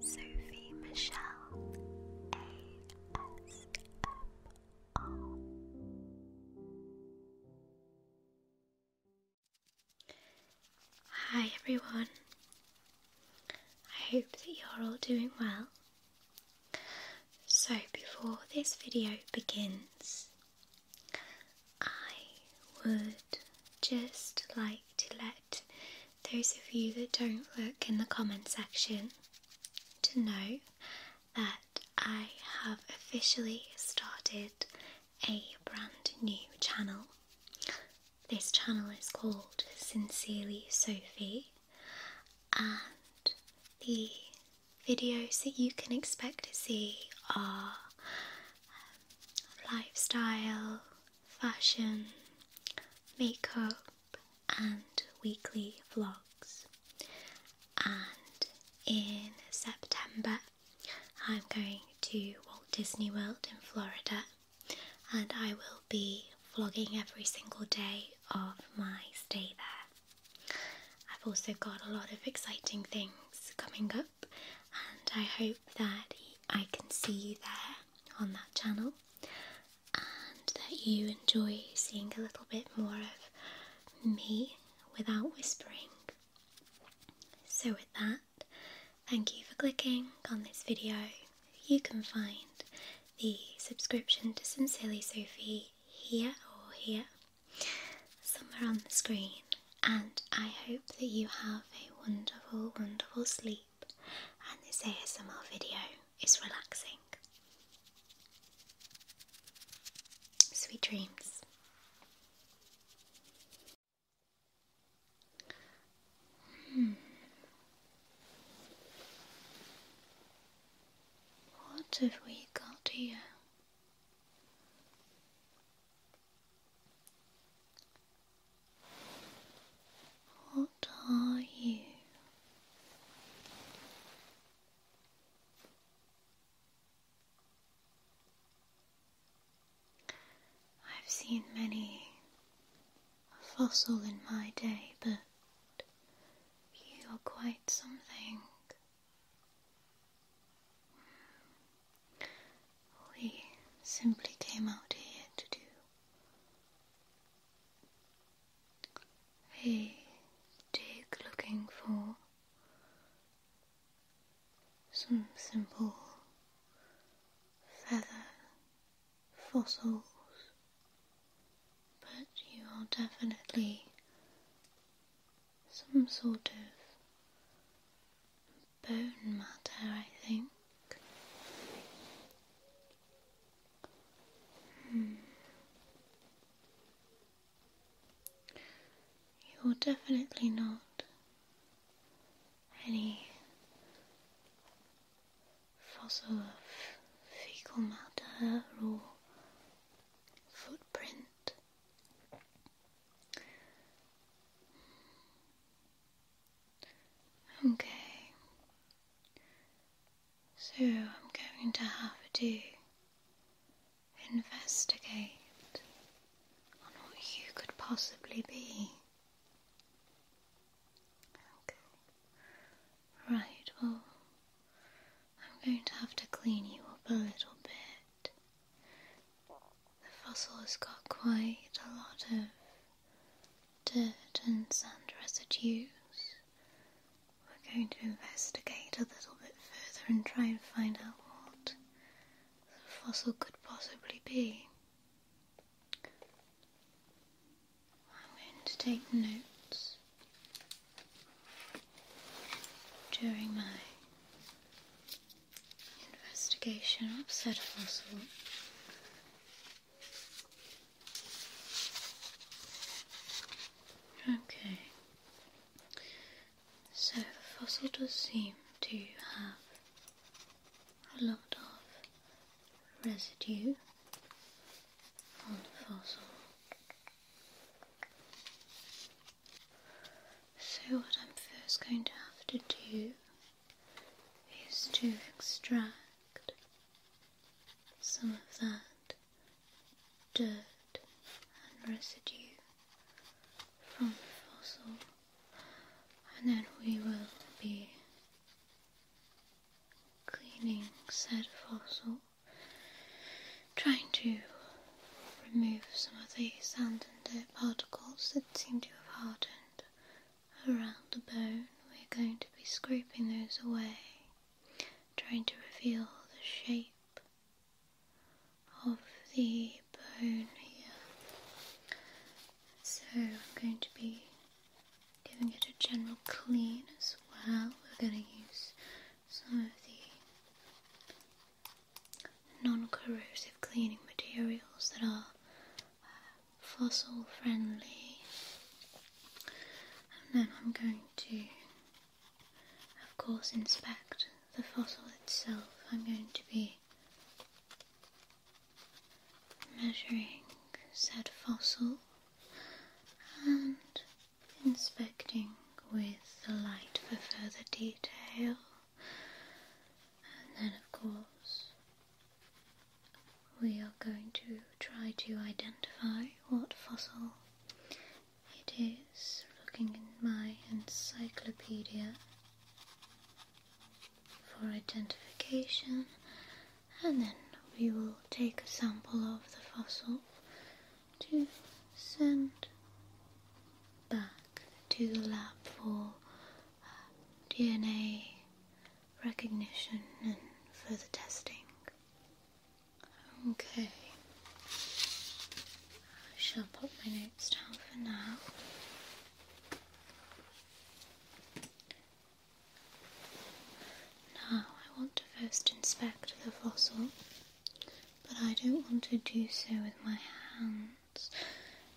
Sophie Michelle ASMR. Hi everyone. I hope that you're all doing well. So before this video begins, I would just like to let those of you that don't look in the comment section to know that I have officially started a brand new channel. This channel is called Sincerely Sophie, and the videos that you can expect to see are um, lifestyle, fashion, makeup, and weekly vlogs. And in September, I'm going to Walt Disney World in Florida and I will be vlogging every single day of my stay there. I've also got a lot of exciting things coming up and I hope that I can see you there on that channel and that you enjoy seeing a little bit more of me without whispering. So, with that, thank you for clicking on this video. You can find the subscription to Sincerely Sophie here or here, somewhere on the screen. And I hope that you have a wonderful, wonderful sleep and this ASMR video is relaxing. Sweet dreams. Hmm. What have we got here? What are you? I've seen many a fossil in my day, but you are quite something. Hmm. We simply came out here to do a jig looking for some simple feather fossils, but you are definitely some sort of bone matter, I think. Hmm. You're definitely not any fossil of fecal matter or footprint. Okay, so I'm going to have to investigate on what you could possibly be. right, well, I'm going to have to clean you up a little bit. The fossil has got quite a lot of dirt and sand residues. We're going to investigate a little bit further and try and find out what the fossil could possibly be. I'm going to take notes during my investigation of said fossil Okay. So the fossil does seem to have a lot of residue on the fossil. So what I'm first going to have to do is to extract some of that dirt and residue from the fossil, and then we will be cleaning said fossil, trying to remove some of the sand and dirt particles that seem to have hardened around the bone, we're going to be scraping those away, trying to reveal the shape of the bone here. So I'm going to be giving it a general clean as well. We're going to use some of the non corrosive cleaning materials that are fossil friendly. And then I'm going to, of course, inspect the fossil itself. I'm going to be measuring said fossil and inspecting with the light for further detail. And then, of course, we are going to try to identify what fossil it is. Looking in my encyclopedia for identification, and then we will take a sample of the fossil to send back to the lab for uh, DNA recognition and further testing. Okay. I shall put my notes down for now. Now I want to first inspect the fossil, but I don't want to do so with my hands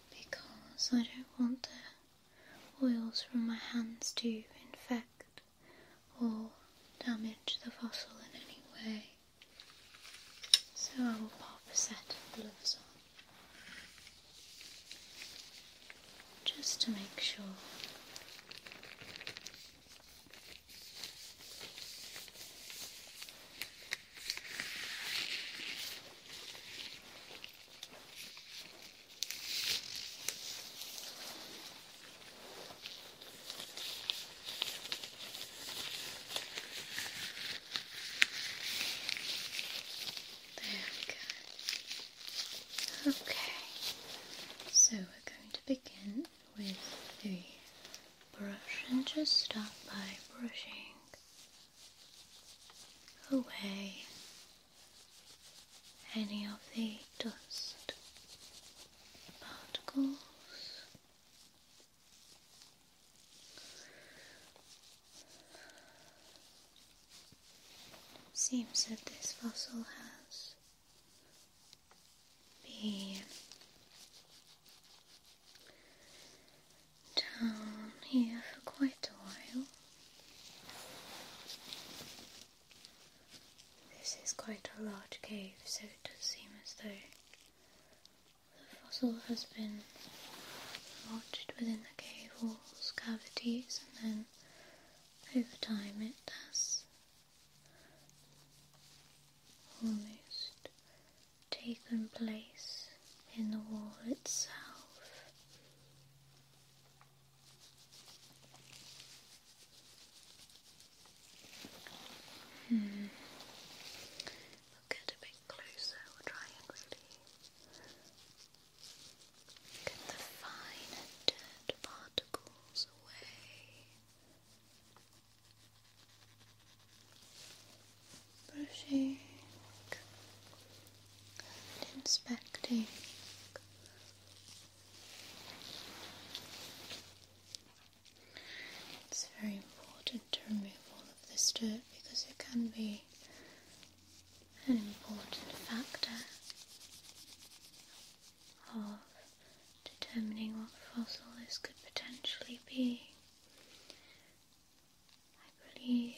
because I don't want the oils from my hands to infect or damage the fossil in any way. So I will pop a set of gloves on just to make sure. There we go. Okay, so we're going to begin with the brush and just start by brushing away any of the dust particles. Seems that this fossil has been down here for quite a while. This is quite a large cave, so it does seem as though the fossil has been lodged within the cave walls, cavities, and then over time it has almost taken place in the wall itself. Hmm. We'll get a bit closer, we'll try and really get the fine dirt particles away. Brushing and inspecting it's very important to remove all of this dirt because it can be an important factor of determining what fossil this could potentially be. I believe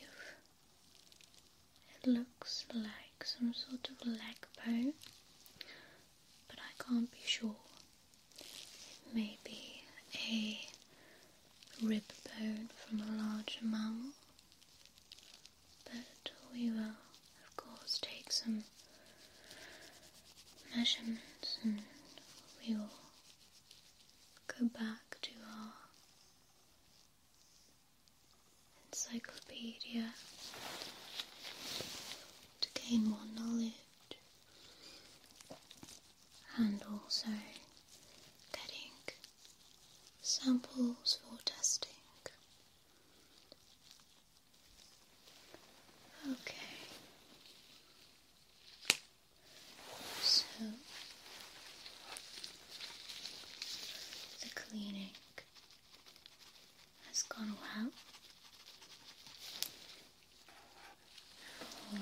it looks like some sort of leg bone, but I can't be sure. It may be a rib bone from a larger mammal, but we will, of course, take some measurements and we will go back to our encyclopedia to gain more knowledge and also getting samples for testing. Okay. So the cleaning has gone well. I'm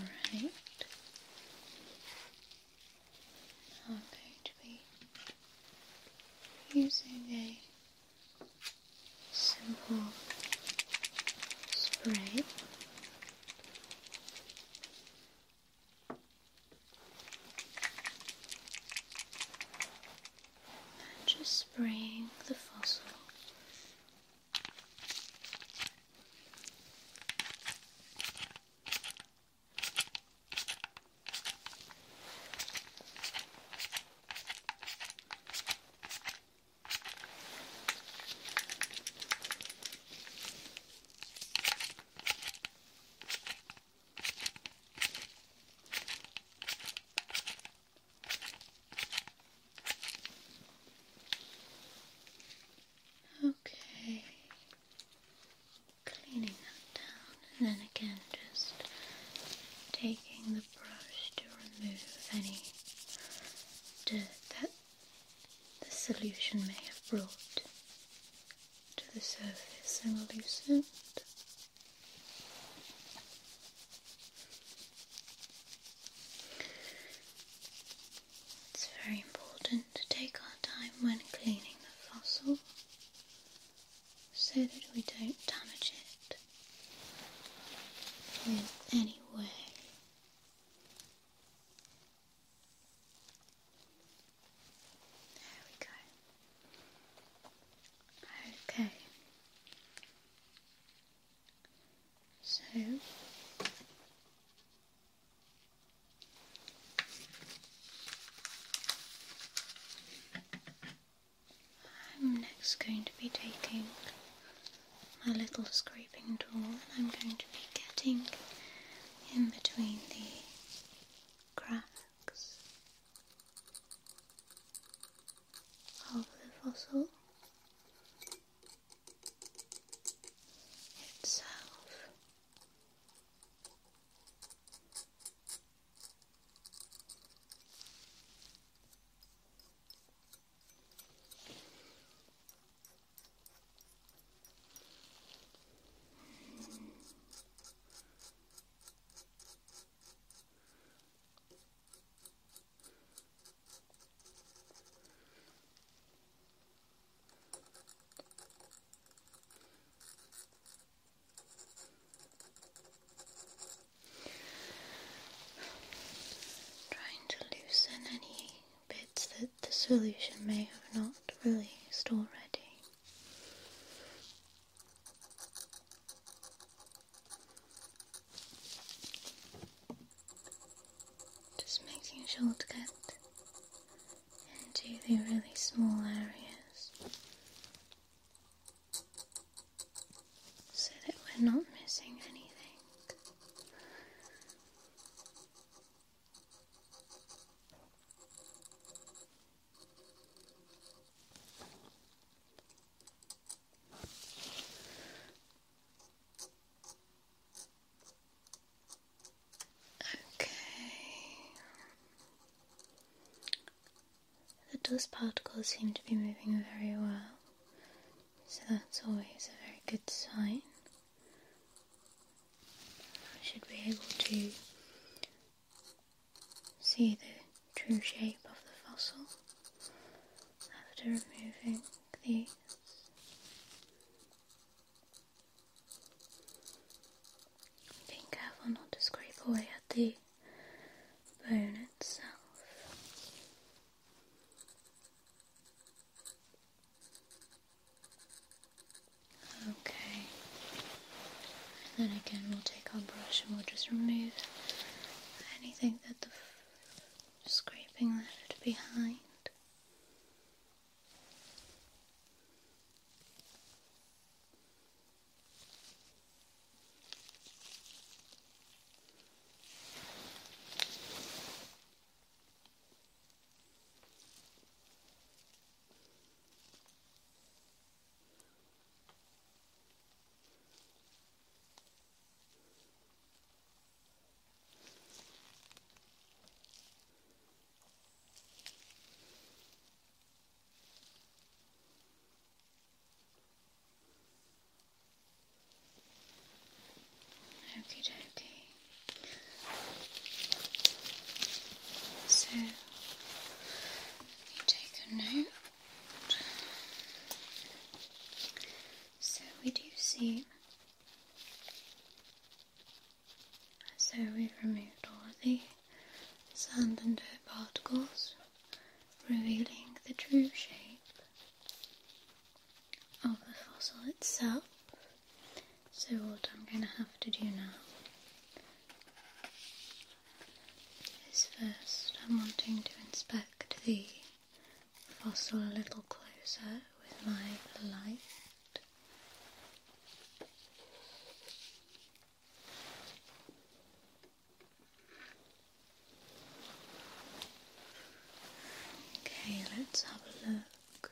going to be using a simple spray just spraying the fossil. Okay, cleaning that down, and then again, just taking the brush to remove any dirt that the solution may have brought to the surface and loosen it. It's very important to take our time when cleaning the fossil so that we don't damage it in any way. There we go. Okay. So I'm next going to be taking my little scraping tool and I'm going to be getting in between the cracks of the fossil itself. Trying to loosen any bits that the solution may have not released already. Just making sure to get into the really small areas so that we're not missing anything. Okay. The dust particles seem to be moving very well, so that's always a very good sign. I should be able to see the true shape of the fossil after removing these. Being careful not to scrape away at the bone itself. Okay. And then again, we'll take our brush and we'll just remove anything that the scraping left behind. Okie dokie. So take a note. So we do see. So we've removed all the sand and dirt particles, revealing the true shape of the fossil itself. So what I'm going to have to do now is first I'm wanting to inspect the fossil a little closer with my light. Okay, let's have a look.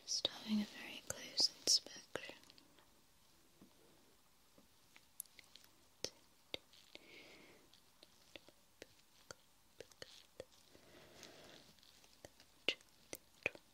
Just having a very close inspection.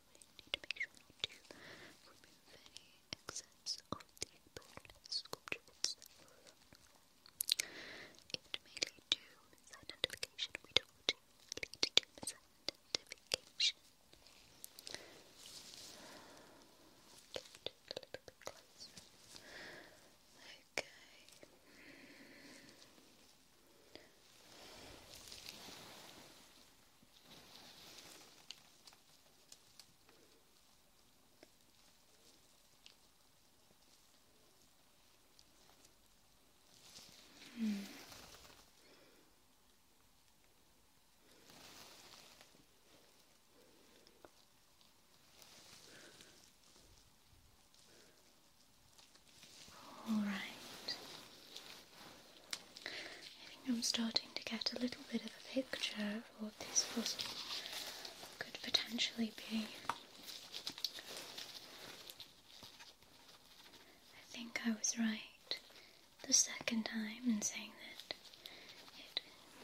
I need to make sure not to remove any excess of the bone sculpture It may lead to misidentification. We don't want to lead to misidentification. Okay. Hmm. All right. I think I'm starting to get a little bit of a picture of what this fossil could potentially be. I think I was right the second time in saying that it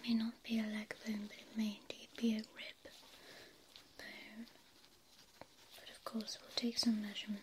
may not be a leg bone, but it may indeed be a rib bone. But of course, we'll take some measurements.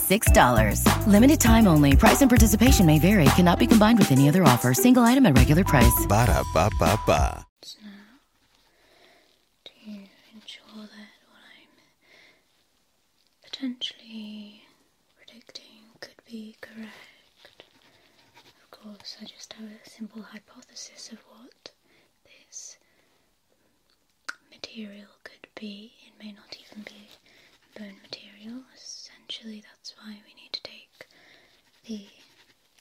$6. Limited time only. Price and participation may vary. Cannot be combined with any other offer. Single item at regular price. Ba da ba ba ba. to ensure that what I'm potentially predicting could be correct, of course, I just have a simple hypothesis of what this material could be. It may not even be bone material. Essentially, that's why we need to take the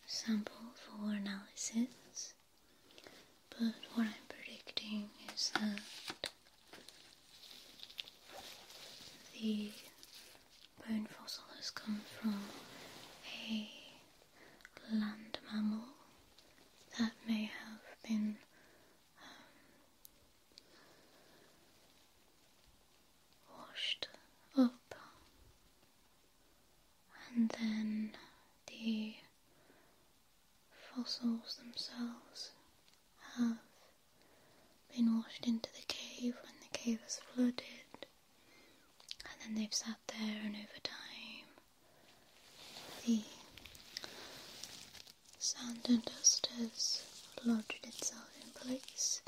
sample for analysis. But what I'm predicting is that the bone fossil has come from a land mammal that may have been washed up, and then the fossils themselves have been washed into the cave when the cave was flooded, and then they've sat there, and over time, the Sand and dust has lodged itself in place,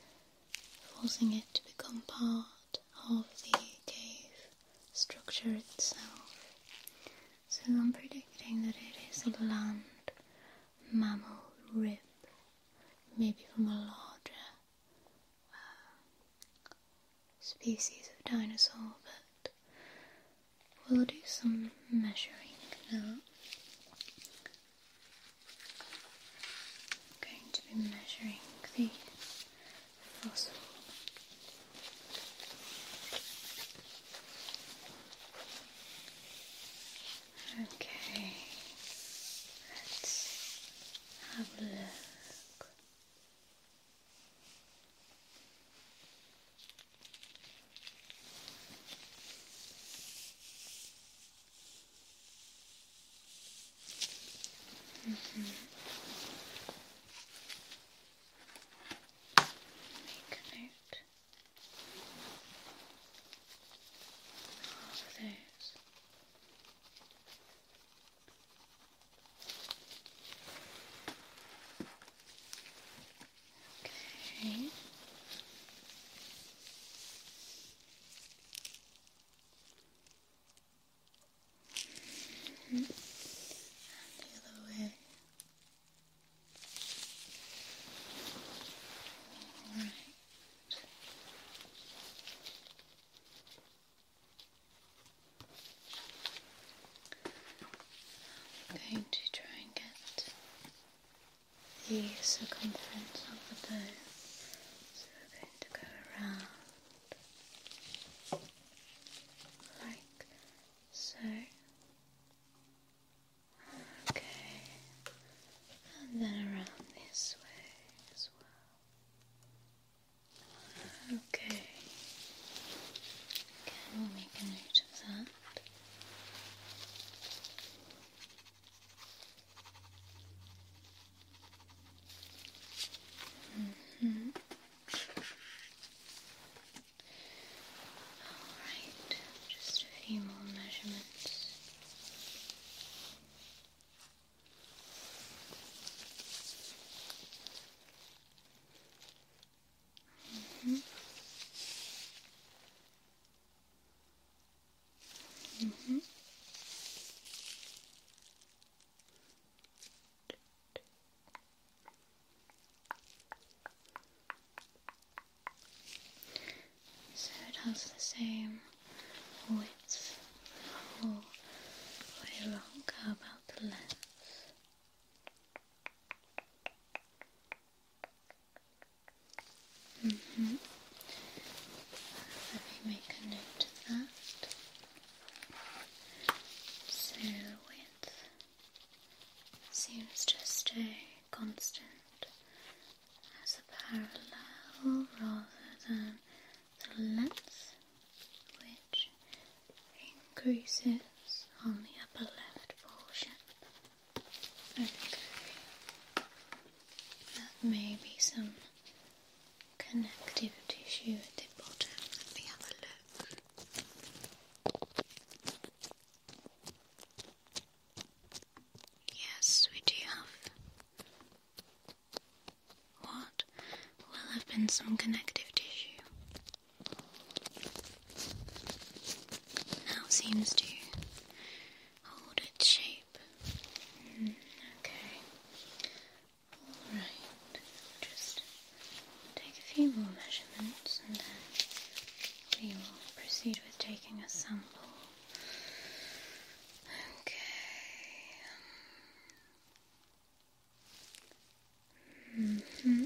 forcing it to become part of the cave structure itself. So I'm predicting that it is a land mammal rib, maybe from a larger uh, species of dinosaur, but we'll do some measuring now. I'm going to be measuring the fossil. Okay, let's have a look. Mm -hmm. Make note of those. Okay. the other way. All right. I'm going to try and get the circumference of the bow. So we're going to go around like so. Okay, and then around this way as well. Okay, again we'll make a note of that that. Mm All right, just a few more measurements. -hmm. Mm-hmm. So it has the same width the way along. about the length? Mm Let me make a note of that. So width seems to stay constant as a parallel rather than the length which increases on the upper left portion. Okay. may be some connective tissue at the bottom. Let me have a look. Yes, we do have what will have been some connective tissue. Now seems to hold its shape. Hmm, okay. Alright. Just take a few more measurements and then we will proceed with taking a sample. Okay. -hmm.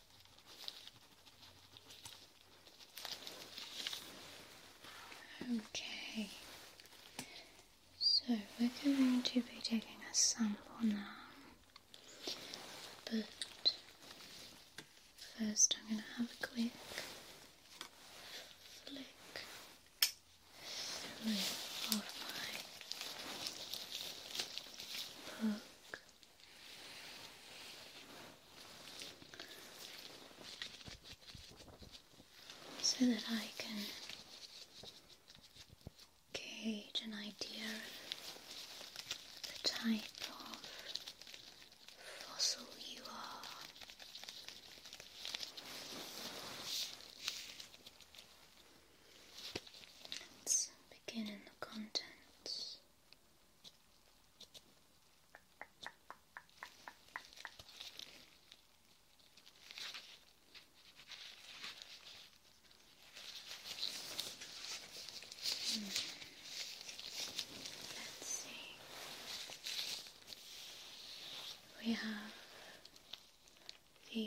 Okay, so we're going to be taking a sample now, but first I'm going to have a quick flick through of my book so that I can gauge an idea of the type of fossil you are. Let's begin in the contents. Let's see. We have the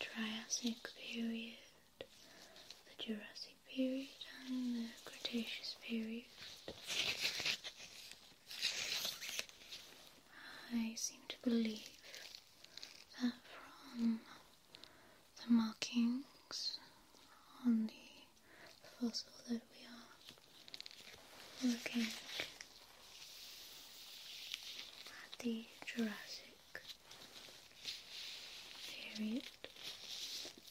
Triassic period the Jurassic period and the Cretaceous period. I seem to believe that from the markings on the fossil that we are looking at the Jurassic period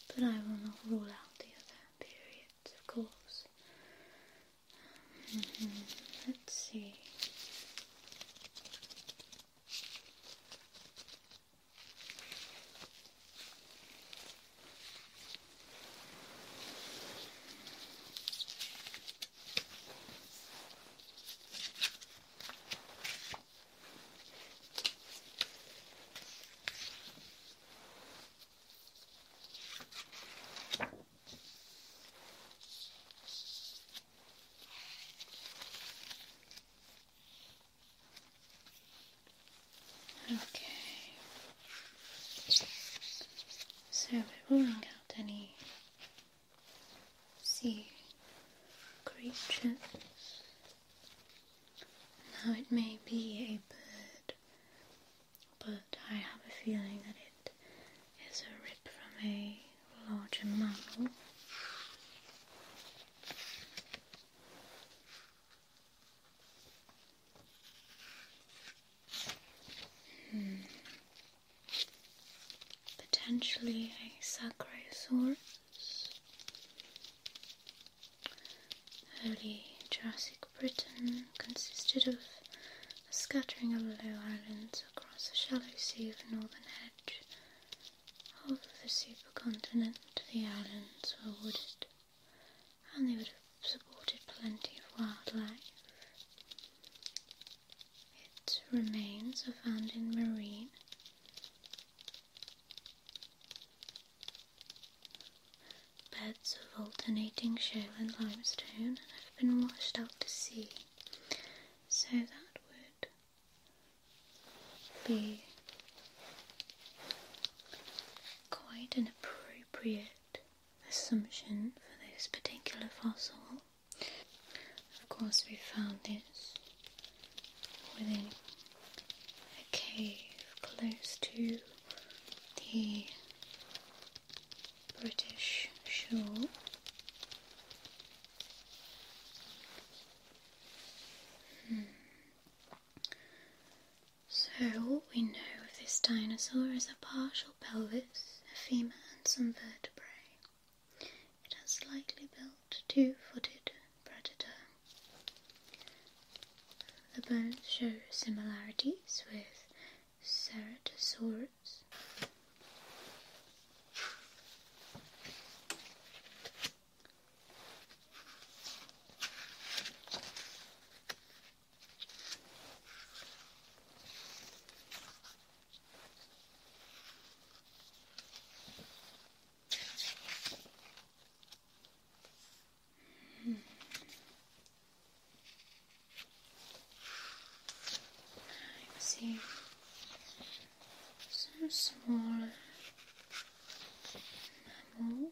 but I will not rule out the other periods, of course. Mm-hmm. Let's see. Okay. So we're ruling out any sea creatures now it may be a bird, but I have a feeling that it is a rip from a larger mammal. Hmm. Potentially a Sacrosaurus. Early Jurassic Britain consisted of a scattering of low islands across a shallow sea of northern edge of the supercontinent. The islands were wooded, and they would have supported plenty of wildlife. Its remains are found in marine Beds of alternating shale and limestone have been washed out to sea, so that would be quite an appropriate assumption for this particular fossil. Of course, we found this within a cave close to the British shore. Hmm. So, what we know of this dinosaur is a partial pelvis, a femur, and some vertebrae. It has slightly built two-footed predator. The bones show similarities with ceratosaurs. I see some small mammals.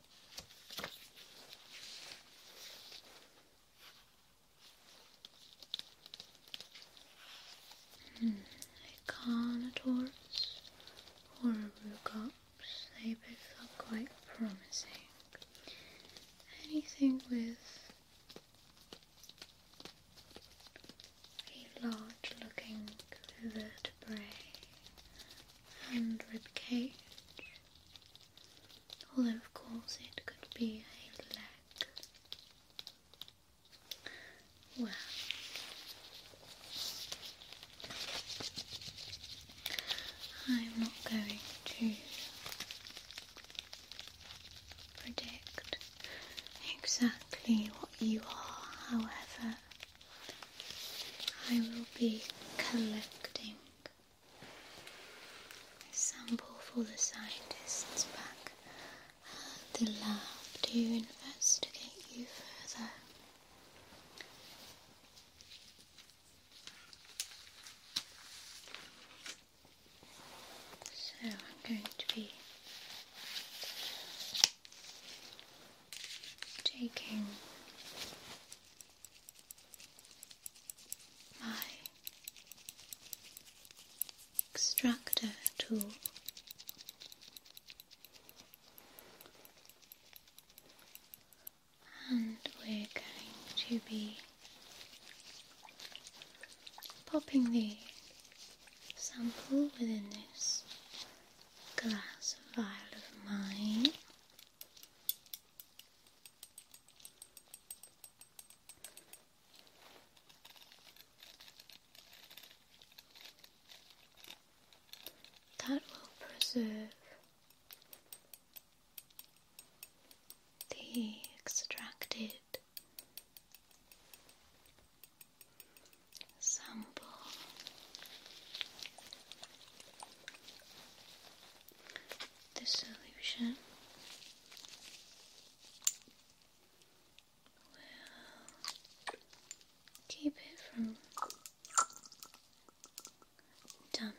The or Rugops, they both look quite promising. Anything with a large looking vertebrae and ribcage. Although, of course, it could be a leg. Well, I'm not going to predict exactly what you are, however. I will be collecting a sample for the scientists back at the lab to investigate you further. So I'm going to be taking my extractor tool. And we're going to be popping the sample within this glass vial of mine. That will preserve the extracted sample the solution will keep it from damage.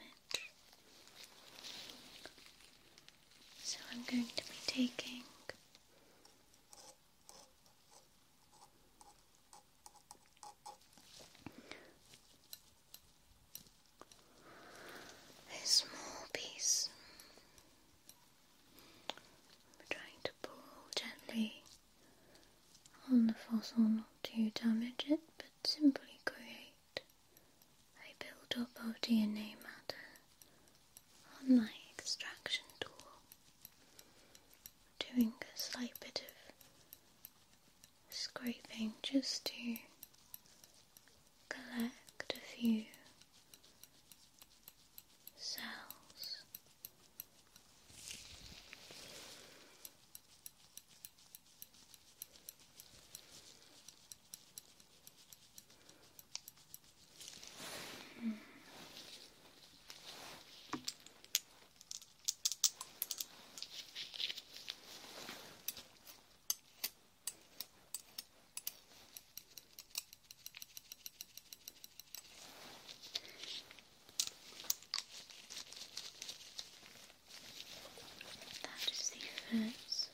So I'm going to be taking a small piece. I'm trying to pull gently on the fossil not to damage it, but simply create a build up of DNA matter on my extraction tool. Doing a slight bit of scraping just to collect a few cells. Hmm. That is the first,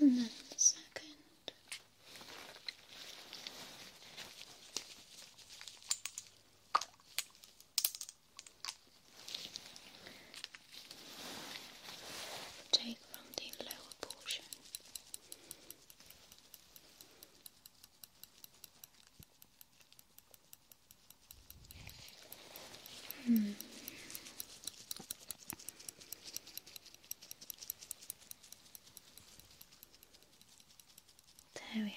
and then the second. Take from the lower portion. There we are.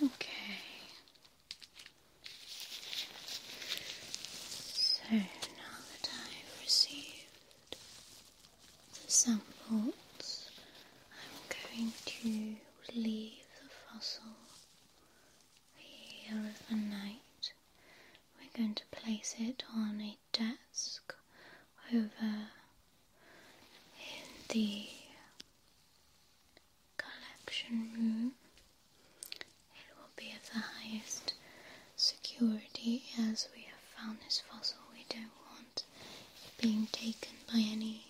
Okay. So now that I've received the samples, I'm going to leave the fossil here overnight. We're going to place it on a desk over in the collection room. It will be of the highest security as we have found this fossil. We don't want it being taken by any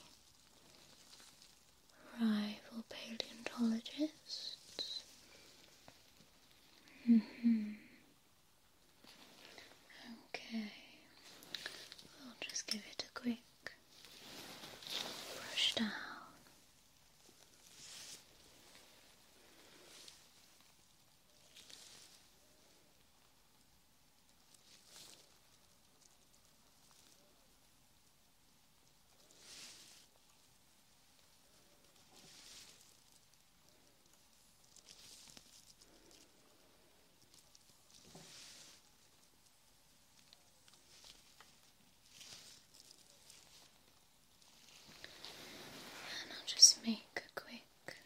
rival paleontologists. Mm-hmm. Okay, we'll just give it a quick brush down. And I'll just make a quick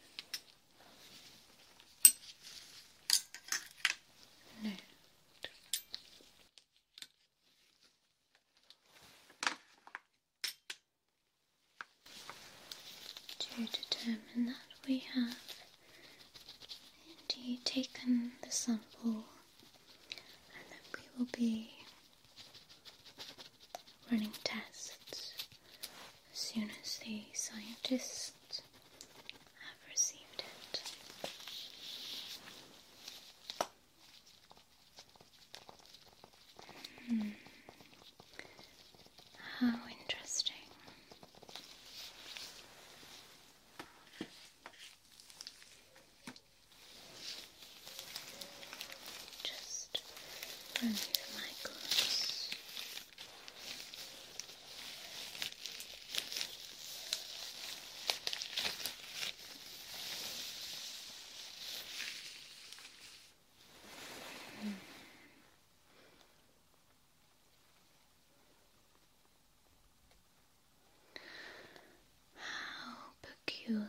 to determine that we have indeed taken the sample and then we will be running tests as soon as the scientists have received it. Hmm. How interesting. Just remove my gloves. Mm. How peculiar.